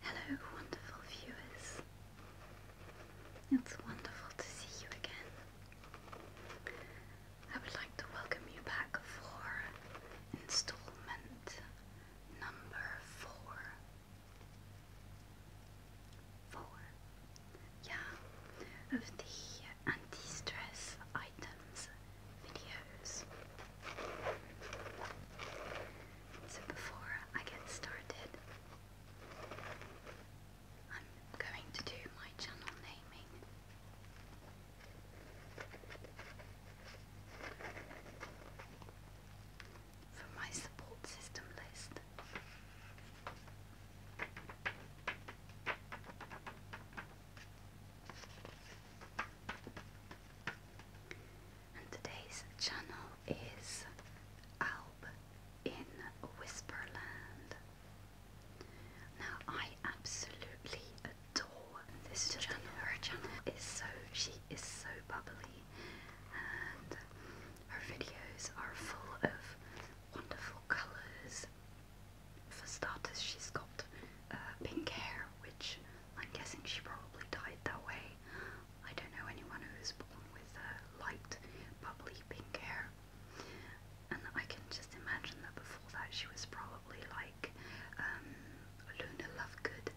Hello, wonderful viewers. It's wonderful to see you again. I would like to welcome you back for installment number four Four. Yeah, of the anti-stress items videos. So before I get started, I'm going to do my channel naming from my support system list. And today's channel is Alb in Whisperland. Now I absolutely adore this channel. Her channel is so she is so bubbly her videos are full of wonderful colours. For starters, she's got uh, pink hair, which I'm guessing she probably dyed that way. I don't know anyone who's born with uh, light, bubbly pink hair. And I can just imagine that before that she was probably like a um, Luna Lovegood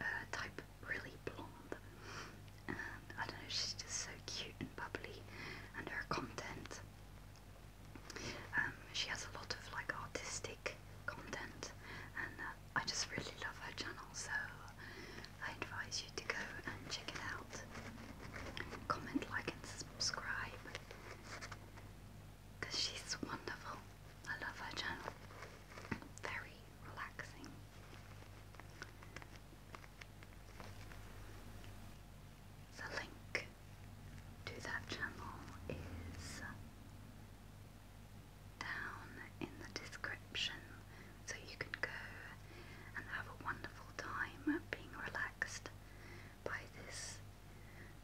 uh, type really blonde. I don't know, she's just so cute and bubbly, and her content. Um, she has a lot of like artistic content, and uh, I just really love her channel. So I advise you to go and check it out. Comment, like, and subscribe because she's wonderful. I love her channel very relaxing. The link to that channel is down in the description, so you can go and have a wonderful time being relaxed by this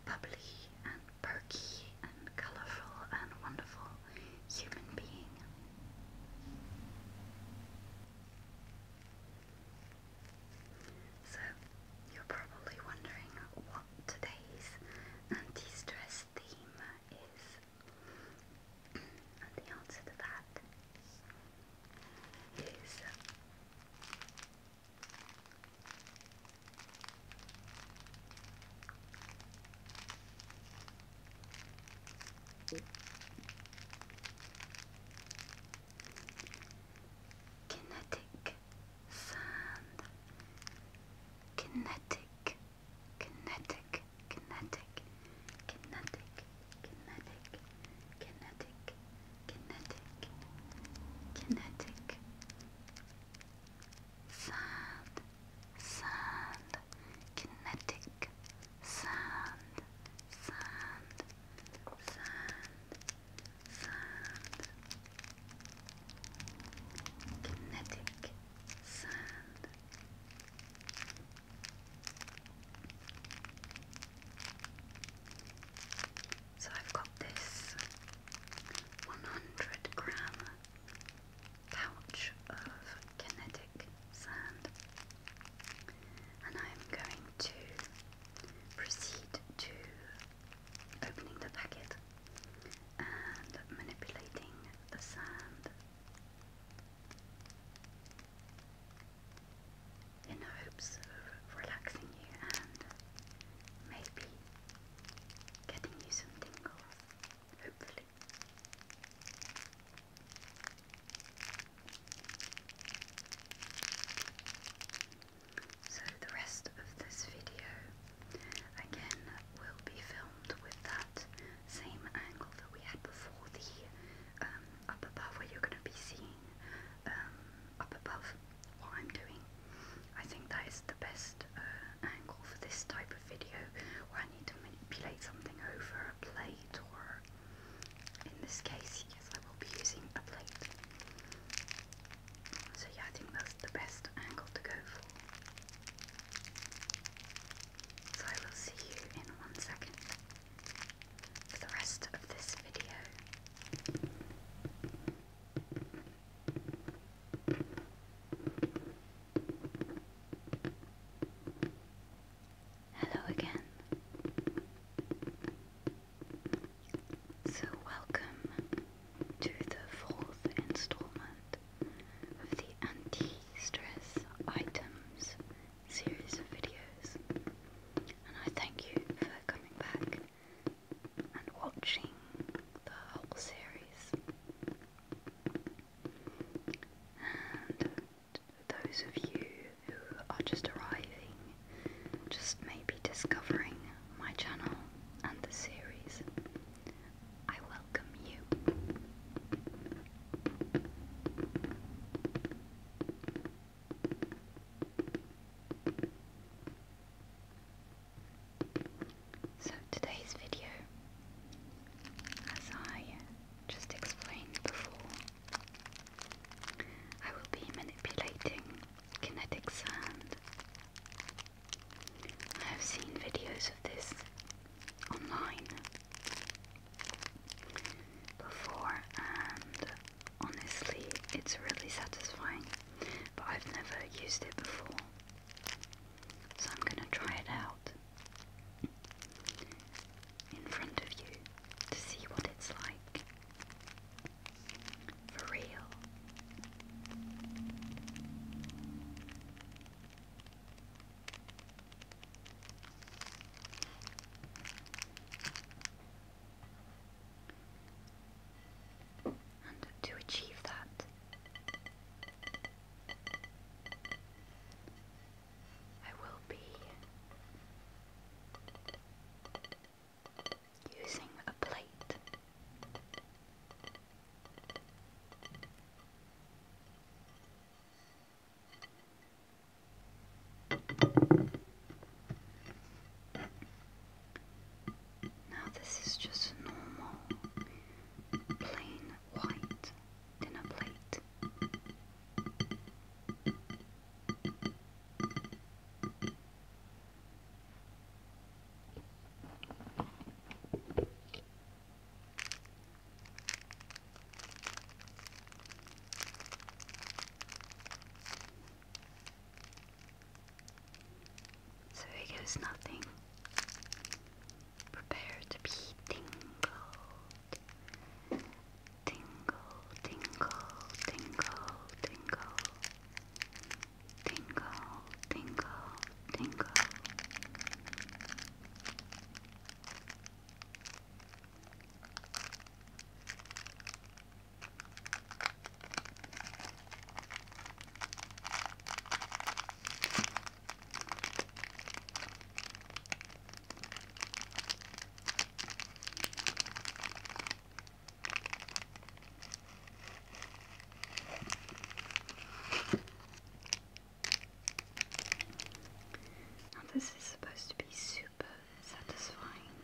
bubbly and perky and colourful and wonderful human being. So, you're probably wondering what today's anti stress theme is, and the answer to that is Kinetic sand. Kinetic, kinetic, kinetic, kinetic, kinetic, kinetic, kinetic, kinetic, sand sand, kinetic, sand, sand, sand, sand, kinetic, So I've got this 100 gram pouch of kinetic sand, and I'm going to proceed to opening the packet and manipulating the sand in hopes of relaxing you and maybe getting you some tingles, hopefully. So the rest of this video again will be filmed with that same angle that we had before the um, up above where you're going to be seeing um, up above what I'm doing. I think that is the best uh, angle for this type video where I need to manipulate something over a plate or in this case yes I will be using a plate. So yeah I think that's the best angle to go for. So I will see you in one second for the rest of this video. Hello again. So, welcome to the fourth installment of the Anti Stress Items series of videos. And I thank you for coming back and watching the whole series. And those of you who are just arriving, just maybe discovering my channel and the series, I welcome you. So today's video, as I just explained before, I will be manipulating kinetic sand. I have seen videos of this online before and honestly it's really satisfying but I've never used it before so I'm gonna try it out in front of you to see what it's like for real. And to achieve that, I will be using a plate. Now, this is just normal plain white dinner plate. So here goes nothing. Prepare to be tingled. Tingle, tingle, tingle, tingle. Tingle, tingle, tingle this is supposed to be super satisfying.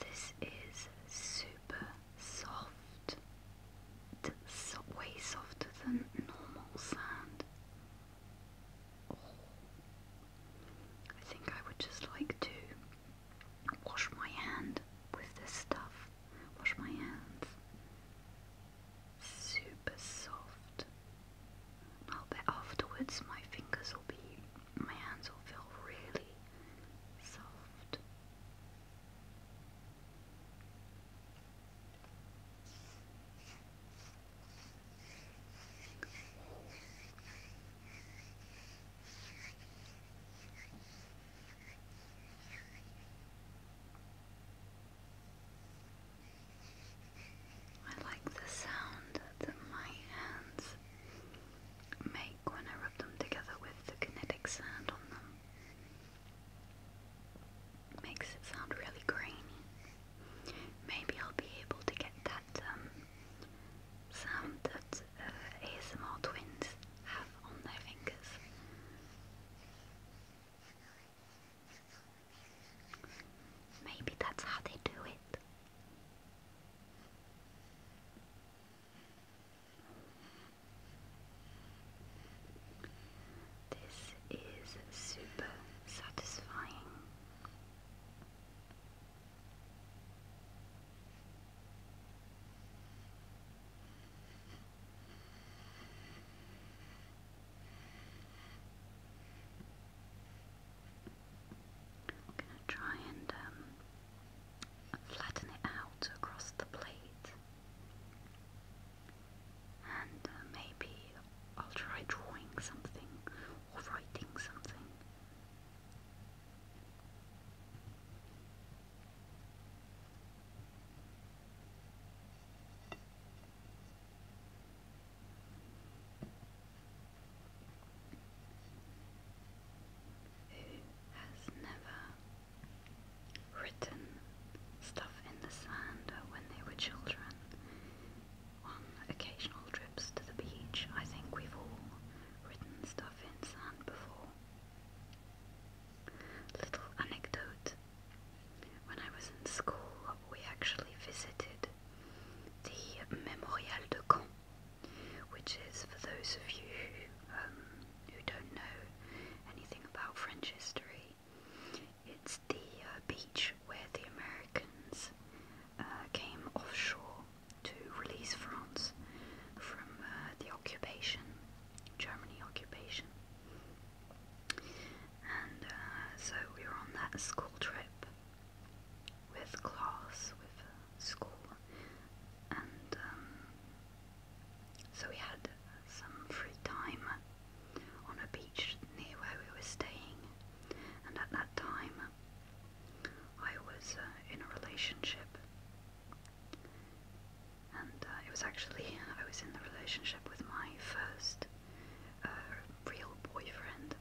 This is super soft. It's way softer than normal sand. Oh, I think I would just like to wash my hand with this stuff. Wash my hands super soft. I'll bet afterwards my fingers will be, my hands will feel really soft. I like the sound that my hands make when I rub them together with the kinetic sand on them. makes it sound really grainy. Maybe I'll be able to get that um, sound that uh, ASMR twins have on their fingers. Maybe that's how they do it. This is super satisfying i try and um, flatten it out across the plate. And uh, maybe I'll try drawing something or writing something. Who has never written stuff in the sand when they were children on occasional trips to the beach? I think we've all written stuff in sand before. Little anecdote when I was in school, we actually visited the Memorial de Caen, which is, for those of you who um, don't know anything about French history, it's the uh, beach where the Americans uh, came offshore to release France from uh, the occupation Germany occupation. And uh, so we were on that school trip with class, with uh, school, and um, so we had some free time on a beach near where we were staying. And at that time, I was uh, in a relationship and uh, it was actually I was in the relationship with my first uh, real boyfriend,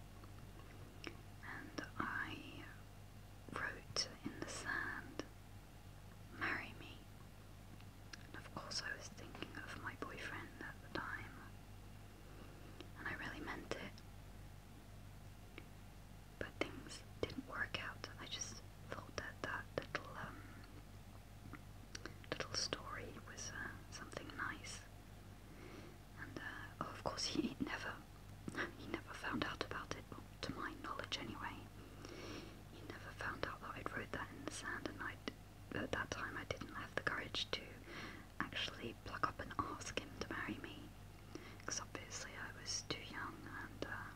and I wrote in the sand, "Marry me." of course, I was thinking of my boyfriend at the time, and I really meant it. But things didn't work out. I just thought that that little um, little story with uh, something nice. And uh, oh, of course, he never he never found out about it, well, to my knowledge anyway. He never found out that I'd wrote that in the sand, and I at that time I didn't have the courage to actually pluck up and ask him to marry me, because obviously I was too young and uh,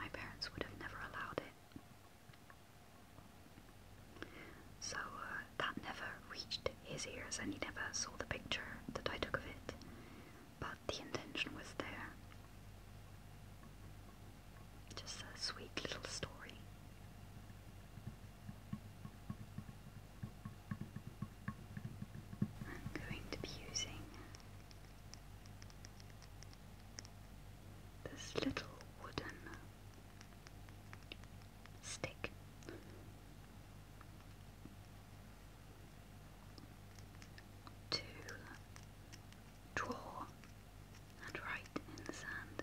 my parents would have never allowed it. So uh, that never reached his ears and he never saw the picture that I took of it, but the intention was there. Just a sweet little story. I'm going to be using this little wooden stick. To draw and write in the sand.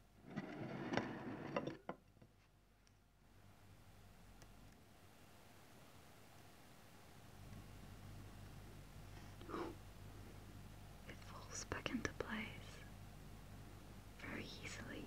It falls back into place very easily.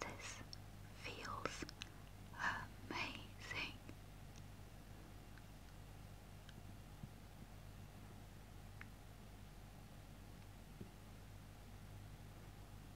This feels amazing.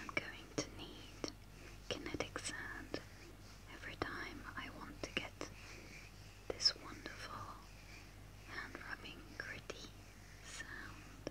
I'm going to need kinetic sand every time I want to get this wonderful hand rubbing gritty sound.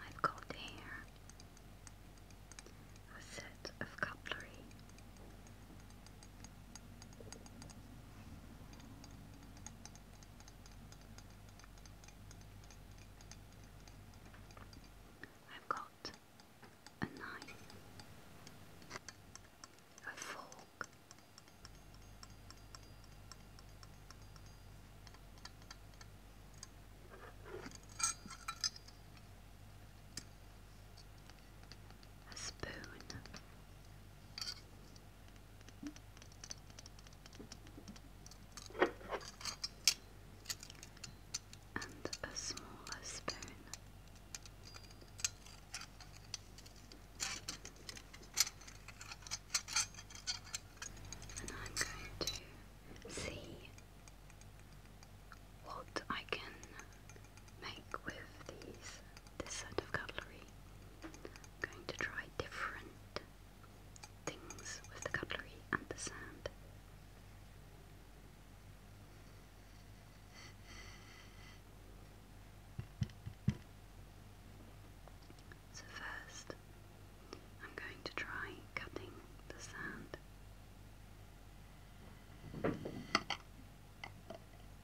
I've got here a set of cutlery I've got a knife, a fork, a spoon. And a smaller spoon. And I'm going to see what I can make with these this set of cutlery. I'm going to try different things with the cutlery and the sand. So, first, I'm going to try cutting the sand.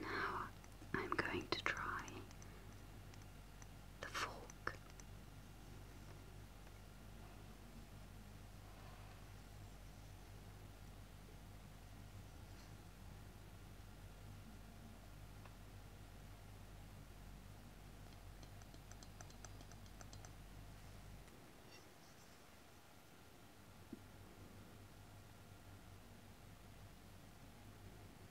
Now I'm going to try the fork.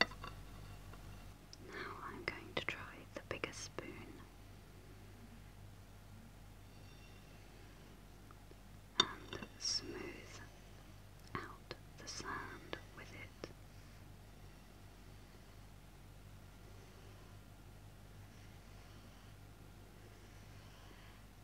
Now I'm going to try the bigger spoon. And smooth out the sand with it.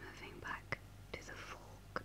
Moving back to the fork.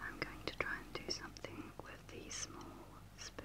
I'm going to try and do something with the small spoon.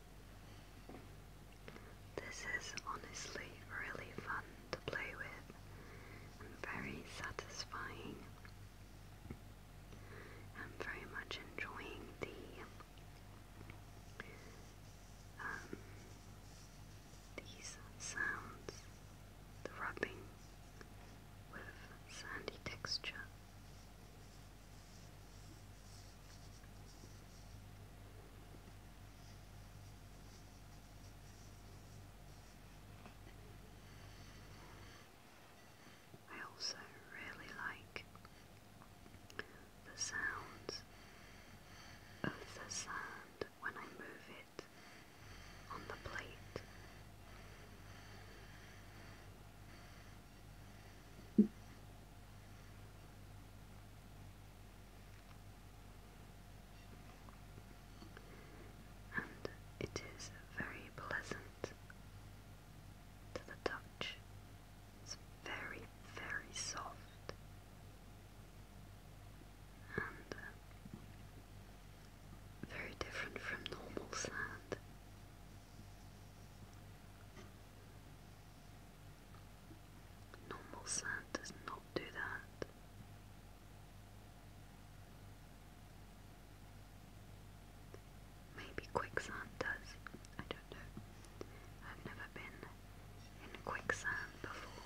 This is honestly really fun to play with and very satisfying. I'm very much enjoying the um, these sounds, the rubbing with sandy texture. I also really like the sound of the sand when I move it on the plate it is very pleasant to the touch. It's very, very soft, and uh, very different from normal sand. Normal sand does not do that. Maybe quicksand does. I don't know. I've never been in quicksand before.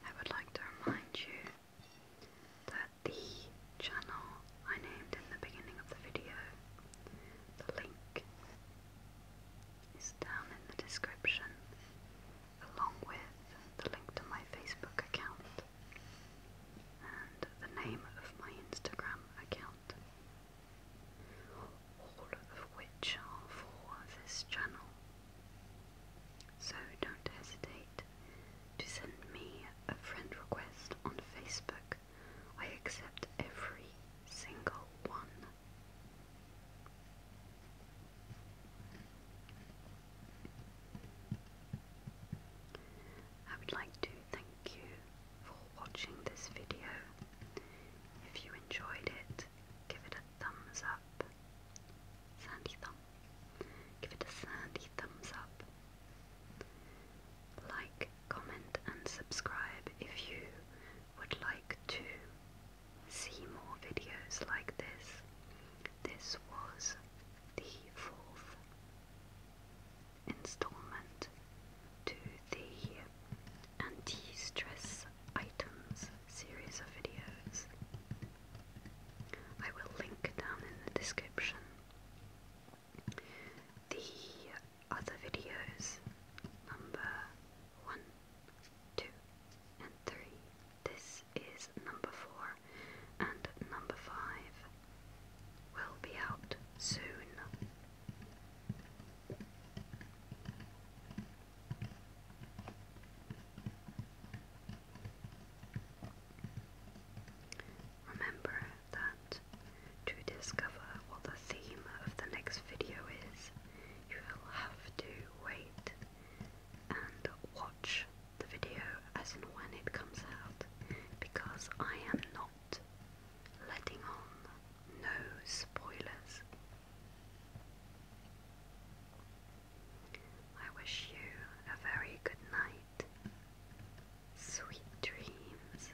I would like to remind you that the channel I named in the beginning of the video, the link is down in the description along with the link to my Facebook account and the name of my Instagram account all of which are for this channel. So don't hesitate to send me a friend request on Facebook. I accept every single one. I would like to thank you for watching this video. If you enjoyed it, give it a thumbs up. Sandy thumb. Give it a sandy thumbs up. Like, comment, and subscribe if you would like to see more videos like this. This was the fourth installment to the anti-stress items series of videos. I will link down in the description the other videos, number 1, 2 and 3. This is number 4 and number 5 will be out soon. Remember that to discover what the theme of the next video is, you will have to wait and watch the video as and when it comes out because I am not letting on no spoilers I wish you a very good night, sweet dreams,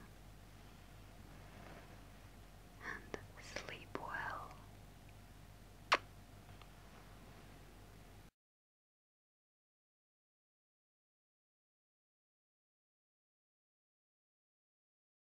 and sleep well.